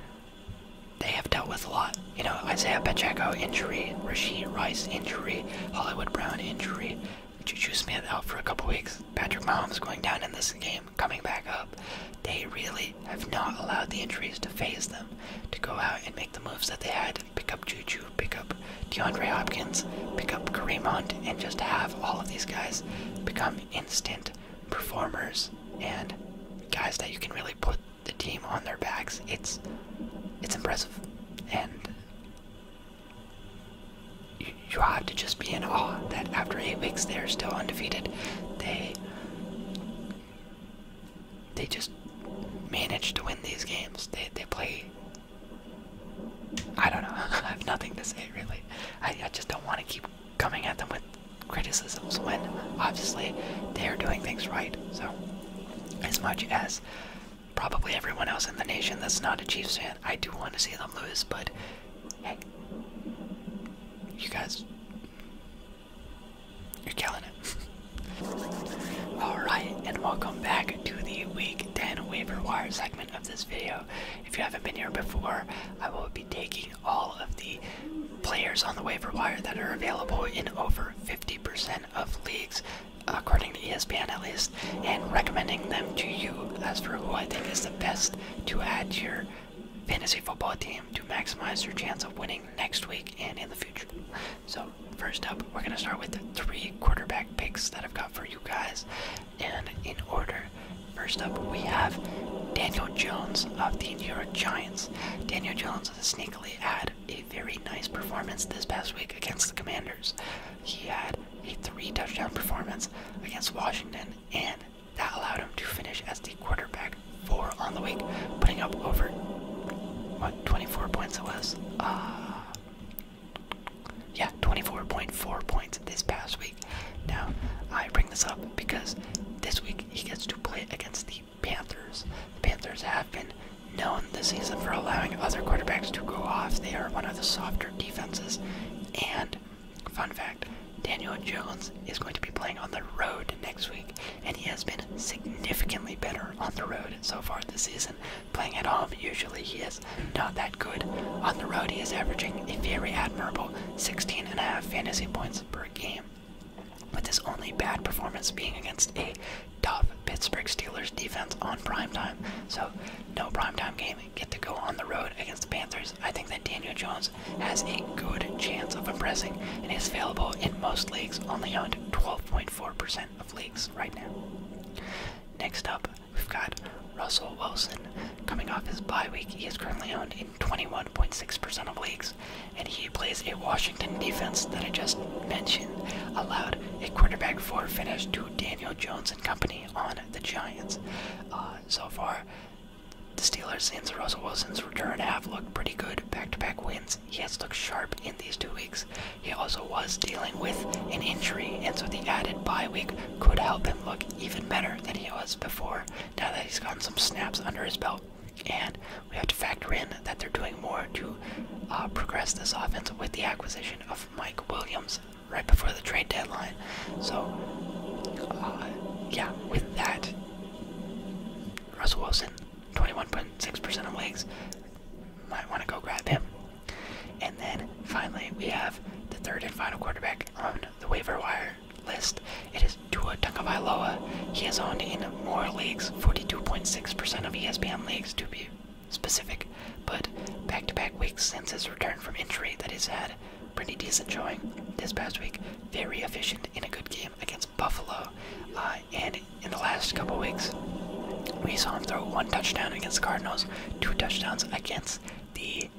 They have dealt with a lot. You know, Isaiah Pacheco injury, Rasheed Rice injury, Hollywood Brown injury, would you Smith out for a couple weeks? Patrick Mahomes going down in this game, coming back up. They really have not allowed the injuries to phase them to go out and make the moves that they had. Pick up Juju, pick up DeAndre Hopkins, pick up Kareem Hunt, and just have all of these guys become instant performers and guys that you can really put the team on their backs. It's it's impressive. And you, have to just be in awe that after eight weeks they're still undefeated. They they just manage to win these games. They they play. I don't know. I have nothing to say really. I I just don't want to keep coming at them with criticisms when obviously they're doing things right. So as much as probably everyone else in the nation that's not a Chiefs fan. I do want to see them lose, but hey, you guys, you're killing it. Alright, and welcome back to the Week 10 Waiver Wire segment of this video. If you haven't been here before, I will be taking all of the players on the waiver wire that are available in over 50% of leagues according to ESPN at least, and recommending them to you as for who I think is the best to add your fantasy football team to maximize your chance of winning next week and in the future. So, first up, we're going to start with the three quarterback picks that I've got for you guys. And in order, first up, we have Daniel Jones of the New York Giants. Daniel Jones has sneakily had a very nice performance this past week against the Commanders. He had a three touchdown performance against Washington, and that allowed him to finish as the quarterback four on the week, putting up over what 24 points it was. Uh, yeah, 24.4 points this past week. Now, I bring this up because this week he gets to play against the Panthers. The Panthers have been known this season for allowing other quarterbacks to go off. They are one of the softer defenses. And fun fact, Daniel Jones is going to be playing on the road next week, and he has been significantly better on the road so far this season. Playing at home, usually he is not that good. On the road, he is averaging a very admirable 16 and a half fantasy points per game. With his only bad performance being against a tough Pittsburgh Steelers defense on primetime. So, no primetime game. Get to go on the road against the Panthers. I think that Daniel Jones has a good chance of impressing and is available in most leagues, only owned 12.4% of leagues right now. Next up, we've got Russell Wilson. Coming off his bye week, he is currently owned in 21.6% of leagues, and he plays a Washington defense that I just mentioned allowed a quarterback four finish to Daniel Jones and company on the Giants uh, so far. The Steelers, since Russell Wilson's return, have looked pretty good back to back wins. He has looked sharp in these two weeks. He also was dealing with an injury, and so the added bye week could help him look even better than he was before now that he's gotten some snaps under his belt. And we have to factor in that they're doing more to uh, progress this offense with the acquisition of Mike Williams, right before the trade deadline. So, uh, yeah, with that, Russell Wilson, 21.6% of leagues, might want to go grab him. And then finally, we have the third and final quarterback on the waiver wire list. It is Dua Tagovailoa. He has owned in more leagues, 42.6% of ESPN leagues to be specific, but back to back weeks since his return from injury that he's had. Pretty decent showing this past week. Very efficient in a good game against Buffalo. Uh, and in the last couple weeks, we saw him throw one touchdown against the Cardinals, two touchdowns against the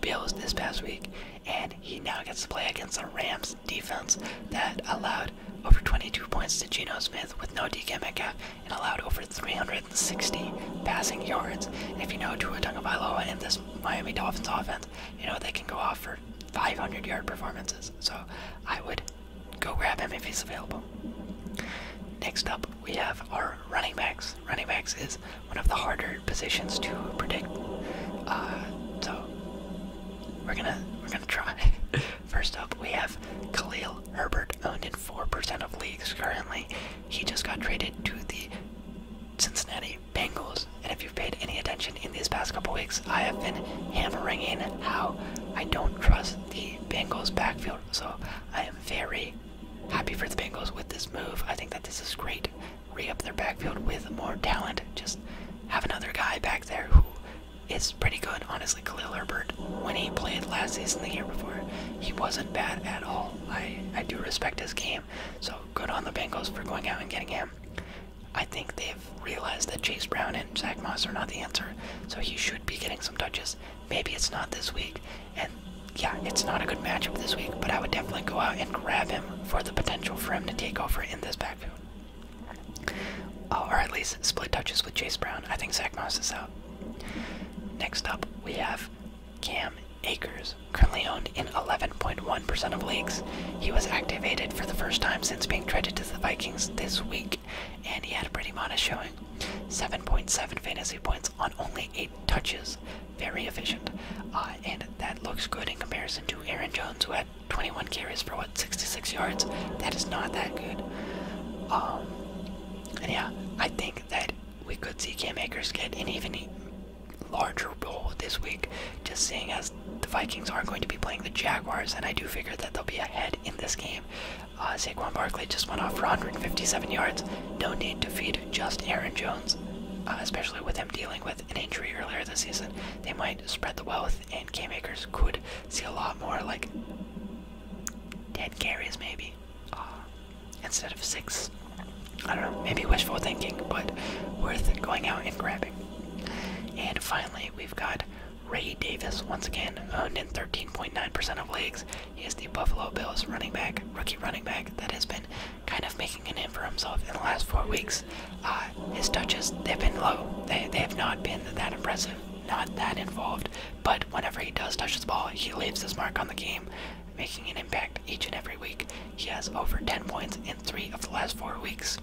Bills this past week. And he now gets to play against the Rams defense that allowed over 22 points to Geno Smith with no D Metcalf and allowed over 360 passing yards. And if you know Tua Tagovailoa and this Miami Dolphins offense, you know they can go off for 500 yard performances. So I would go grab him if he's available. Next up, we have our running backs. Running backs is one of the harder positions to predict. Uh, so we're gonna we're gonna try. First up, we have Khalil Herbert owned in 4% of leagues currently. He just got traded to the Cincinnati Bengals. And if you've paid any attention in these past couple weeks, I have been hammering in how I don't trust the Bengals backfield. So I am very happy for the Bengals with this move. I think that this is great. Re up their backfield with more talent. Just have another guy back there who is pretty good, honestly. Khalil Herbert, when he played last season, the year before, he wasn't bad at all. I, I do respect his game, so good on the Bengals for going out and getting him. I think they've realized that Chase Brown and Zach Moss are not the answer, so he should be getting some touches. Maybe it's not this week, and yeah, it's not a good matchup this week, but I would definitely go out and grab him for the potential for him to take over in this backfield. or at least split touches with Chase Brown. I think Zach Moss is out. Next up, we have Cam Akers, currently owned in 11.1% of leagues. He was activated for the first time since being traded to the Vikings this week, and he had a pretty modest showing 7.7 fantasy points on only 8 touches. Very efficient. Uh, and that looks good in comparison to Aaron Jones, who had 21 carries for what, 66 yards? That is not that good. Um, and yeah, I think that we could see Cam Akers get an even larger role this week, just seeing as the Vikings are not going to be playing the Jaguars, and I do figure that they'll be ahead in this game. Uh, Saquon Barkley just went off for 157 yards. No need to feed just Aaron Jones, uh, especially with him dealing with an injury earlier this season. They might spread the wealth, and K-Makers could see a lot more, like 10 carries maybe. Ah, instead of six. I don't know, maybe wishful thinking, but worth going out and grabbing. And finally, we've got Ray Davis, once again, owned in 13.9% of leagues. He is the Buffalo Bills running back, rookie running back, that has been kind of making an name for himself in the last four weeks. Ah, his touches, they've been low. They, they have not been that impressive, not that involved, but whenever he does touch the ball, he leaves his mark on the game, making an impact each and every week. He has over 10 points in three of the last four weeks.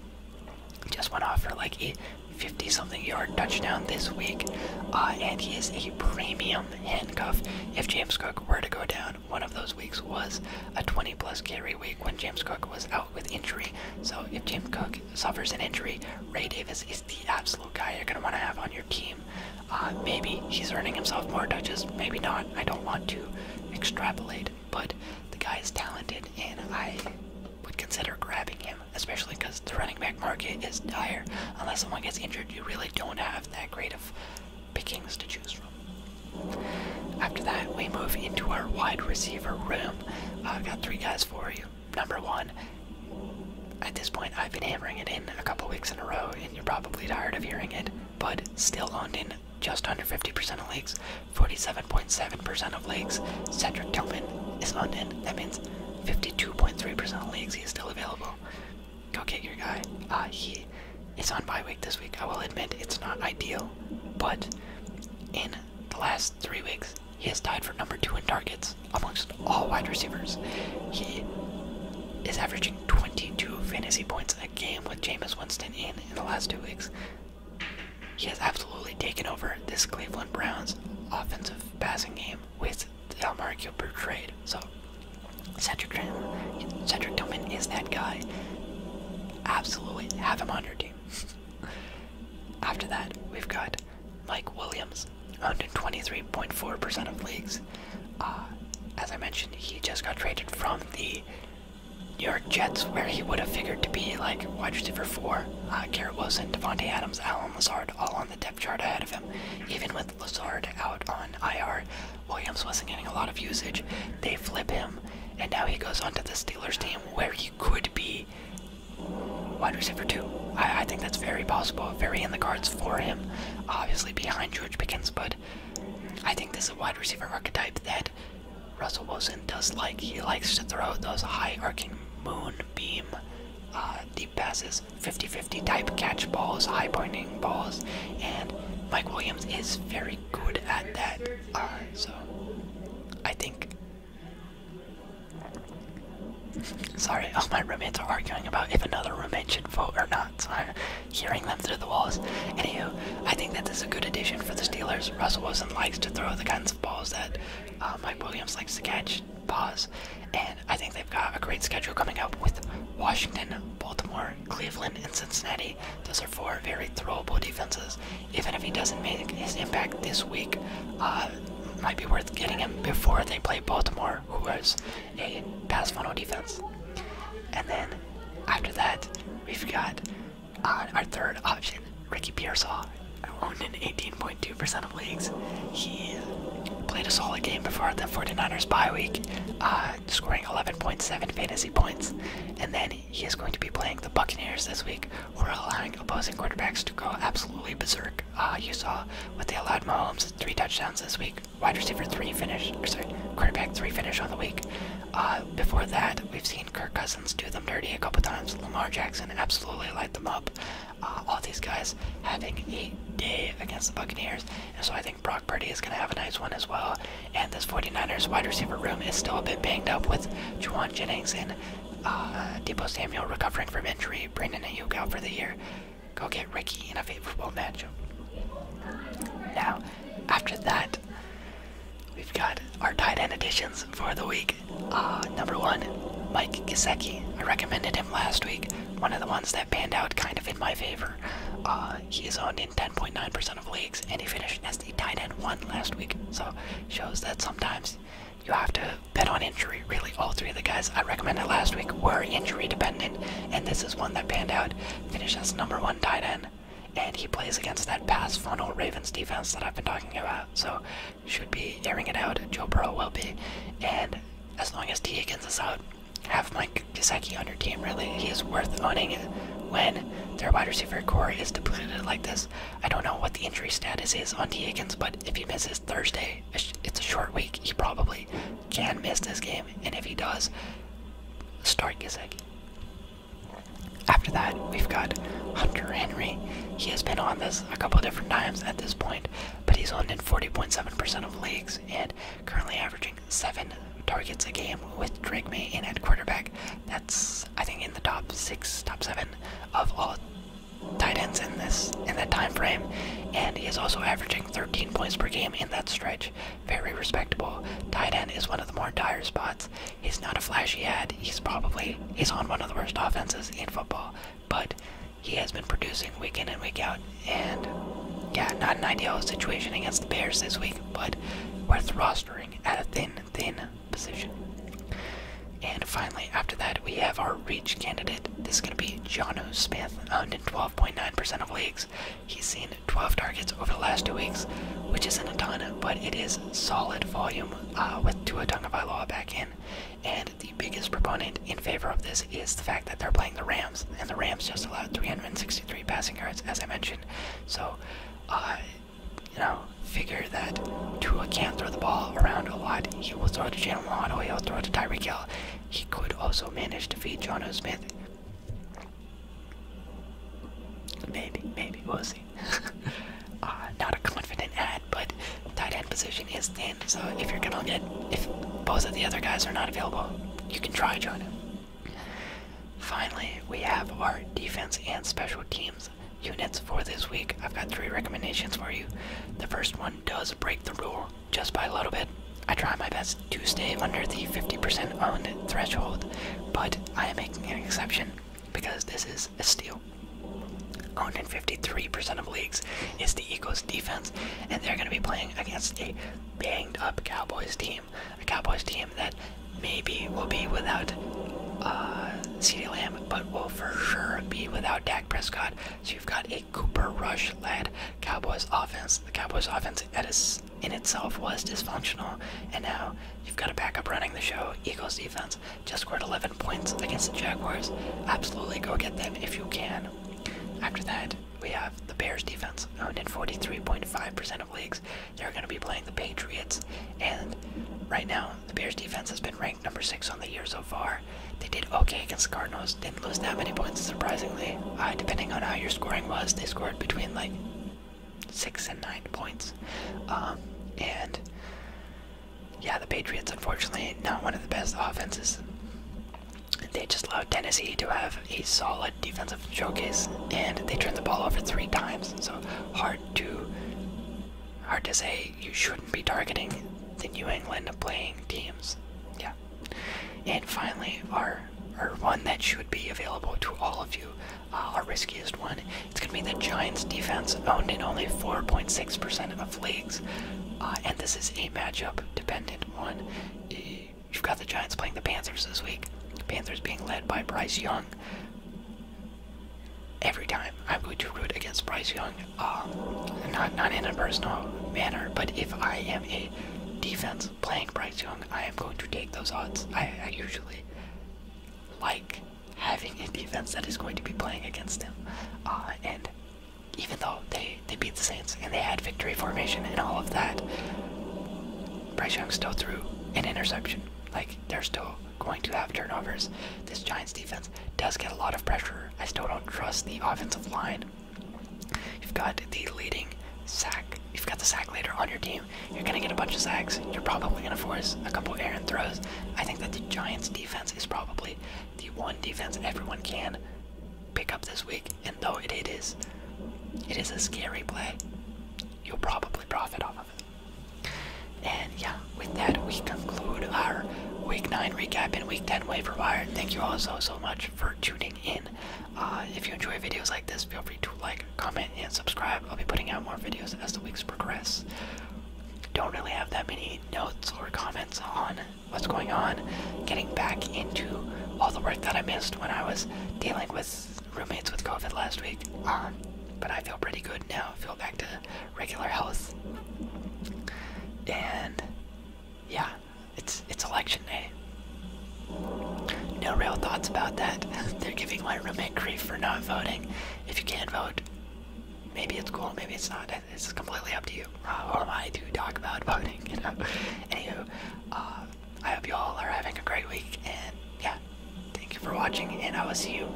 Just went off for like a 50 something yard touchdown this week, uh, and he is a premium handcuff. If James Cook were to go down, one of those weeks was a 20 plus carry week when James Cook was out with injury. So if James Cook suffers an injury, Ray Davis is the absolute guy you're going to want to have on your team. Uh, maybe he's earning himself more touches, maybe not. I don't want to extrapolate, but the guy is talented, and I would consider grabbing him, especially because the running back market is dire. Unless someone gets injured, you really don't have that great of pickings to choose from. After that, we move into our wide receiver room. I've got three guys for you number one, at this point, I've been hammering it in a couple weeks in a row, and you're probably tired of hearing it, but still owned in just under 50% of leagues, 47.7% of leagues. Cedric Tillman is owned in. That means 52.3% of leagues he is still available. Go get your guy. Ah, he is on bye week this week. I will admit it's not ideal, but in the last three weeks, he has tied for number two in targets amongst all wide receivers. He is averaging 22 fantasy points a game with Jameis Winston in the last two weeks. He has absolutely taken over this Cleveland Browns offensive passing game with Del Marco per So Cedric Tillman, Cedric Tillman is that guy. Absolutely have him on your team. After that, we've got Mike Williams, owned 23.4% of leagues. Uh, as I mentioned, he just got traded from the New York Jets, where he would have figured to be like wide receiver four. Uh, Garrett Wilson, Devontae Adams, Alan Lazard, all on the depth chart ahead of him. Even with Lazard out on IR, Williams wasn't getting a lot of usage. They flip him, and now he goes onto the Steelers team, where he could be wide receiver two. I, think that's very possible, very in the cards for him. Obviously behind George Pickens, but I think this is a wide receiver archetype that Russell Wilson does like. He likes to throw those high arcing moonbeam uh, deep passes, 50-50 type catch balls, high pointing balls, and Mike Williams is very good at that. Uh, so I think Sorry, all my roommates are arguing about if another roommate should vote or not, I'm hearing them through the walls. Anywho, I think that this is a good addition for the Steelers. Russell Wilson likes to throw the kinds of balls that uh, Mike Williams likes to catch. Pause. And I think they've got a great schedule coming up with Washington, Baltimore, Cleveland, and Cincinnati. Those are four very throwable defenses. Even if he doesn't make his impact this week, uh, might be worth getting him before they play Baltimore who was a pass funnel defense. And then after that, we've got uh, our third option, Ricky Pearsall, owned in 18.2% of leagues. He played a solid game before the 49ers bye week, uh, scoring 11.7 fantasy points. And then he is going to be playing the Buccaneers this week, who are allowing opposing quarterbacks to go absolutely berserk. Uh, you saw what they allowed Mahomes three touchdowns this week. Wide receiver three finish, or sorry, quarterback three finish on the week. Uh, before that, we've seen Kirk Cousins do them dirty a couple times. Lamar Jackson absolutely light them up. Uh, all these guys having a day against the Buccaneers, and so I think Brock Purdy is going to have a nice one as well. And this 49ers wide receiver room is still a bit banged up with Juwan Jennings and uh, Debo Samuel recovering from injury, Brandon Ayuk out for the year go get Ricky in a favorable matchup. Now, after that, we've got our tight end additions for the week. Uh, number one, Mike Gesicki. I recommended him last week. One of the ones that panned out kind of in my favor. Uh, he is owned in 10.9% of leagues, and he finished as the tight end one last week. So shows that sometimes you have to bet on injury. Really, all three of the guys I recommended last week were injury dependent, and this is one that panned out. Finished as number one tight end, and he plays against that pass funnel Ravens defense that I've been talking about. So, should be airing it out. Joe Burrow will be, and as long as T Higgins is out, have Mike Gesicki on your team. Really, he is worth owning when their wide receiver core is depleted like this. I don't know what the injury status is on T Higgins, but if he misses Thursday, it's a short week. He probably can miss this game, and if he does, start Gizek. After that, we've got Hunter Henry. He has been on this a couple different times at this point, but he's on in 40.7% of leagues and currently averaging seven targets a game with Drake May in at quarterback. That's I think in the top six, top seven of all tight ends in this in that time frame, and he is also averaging 13 points per game in that stretch. Very respectable. Tight end is one of the more dire spots. He's not a flashy ad. He's probably he's on one of the worst offenses in football, but he has been producing week in and week out. And yeah, not an ideal situation against the Bears this week, but we're rostering at a thin, thin position. And finally, after that, we have our reach candidate this is going to be Jono Smith, owned in 12.9% of leagues. He's seen 12 targets over the last two weeks, which isn't a ton, but it is solid volume uh, with Tua Tagovailoa back in. And the biggest proponent in favor of this is the fact that they're playing the Rams, and the Rams just allowed 363 passing yards, as I mentioned. So, uh, you know, figure that Tua can't throw the ball around a lot. He will throw to Jalen or he'll throw to Tyreek Hill, he could also manage to feed Jono Smith. Maybe, maybe, we'll see. Uh, not a confident ad, but tight end position is thin, so if you're gonna get, if both of the other guys are not available, you can try Jono. Finally, we have our defense and special teams units for this week. I've got three recommendations for you. The first one does break the rule just by a little bit. I try my best to stay under the 50% owned threshold, but I am making an exception because this is a steal. Owned in 53% of leagues is the Eagles defense, and they're going to be playing against a banged up Cowboys team. A Cowboys team that maybe will be without uh, CeeDee Lamb, but will for sure be without Dak Prescott, so you've got a Cooper Rush led Cowboys offense. The Cowboys offense in itself was dysfunctional, and now you've got a backup running the show. Eagles defense just scored 11 points against the Jaguars. Absolutely go get them if you can. After that, we have the Bears defense, owned in 43.5% of leagues. They're going to be playing the Patriots, and right now, the Bears defense has been ranked number six on the year so far. They did okay against the Cardinals. Didn't lose that many points, surprisingly. Uh, depending on how your scoring was, they scored between like six and nine points. Um, and yeah, the Patriots, unfortunately, not one of the best offenses. They just allowed Tennessee to have a solid defensive showcase, and they turned the ball over three times. So hard to hard to say you shouldn't be targeting the New England playing teams. Yeah. And finally, our, our one that should be available to all of you, uh, our riskiest one, it's going to be the Giants defense, owned in only 4.6% of leagues. Uh, and this is a matchup dependent one. You've got the Giants playing the Panthers this week. The Panthers being led by Bryce Young. Every time I'm going to root against Bryce Young uh, not not in a personal manner, but if I am a defense playing Bryce Young, I am going to take those odds. I, usually like having a defense that is going to be playing against him, uh, and even though they they beat the Saints and they had victory formation and all of that, Bryce Young still threw an interception. Like they're still going to have turnovers. This Giants defense does get a lot of pressure. I still don't trust the offensive line. You've got the leading sack. You've got the sack later on your team. You're gonna get a bunch of sacks. You're probably gonna force a couple errant throws. I think that the Giants' defense is probably the one defense everyone can pick up this week. And though it is, it is a scary play. You'll probably profit off of it. And yeah, with that, we conclude our Week 9 recap and Week 10 waiver wire. Thank you all so, so much for tuning in. Uh, if you enjoy videos like this, feel free to like, comment, and subscribe. I'll be putting out more videos as the weeks progress. Don't really have that many notes or comments on what's going on. Getting back into all the work that I missed when I was dealing with roommates with COVID last week. Um, but I feel pretty good now. feel back to regular health. And yeah, it's it's election day. No real thoughts about that. They're giving my roommate grief for not voting. If you can't vote, maybe it's cool, maybe it's not. It's completely up to you. Uh, who am I to talk about voting? You know. Anywho, uh, I hope you all are having a great week, and yeah, thank you for watching, and I will see you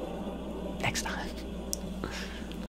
next time.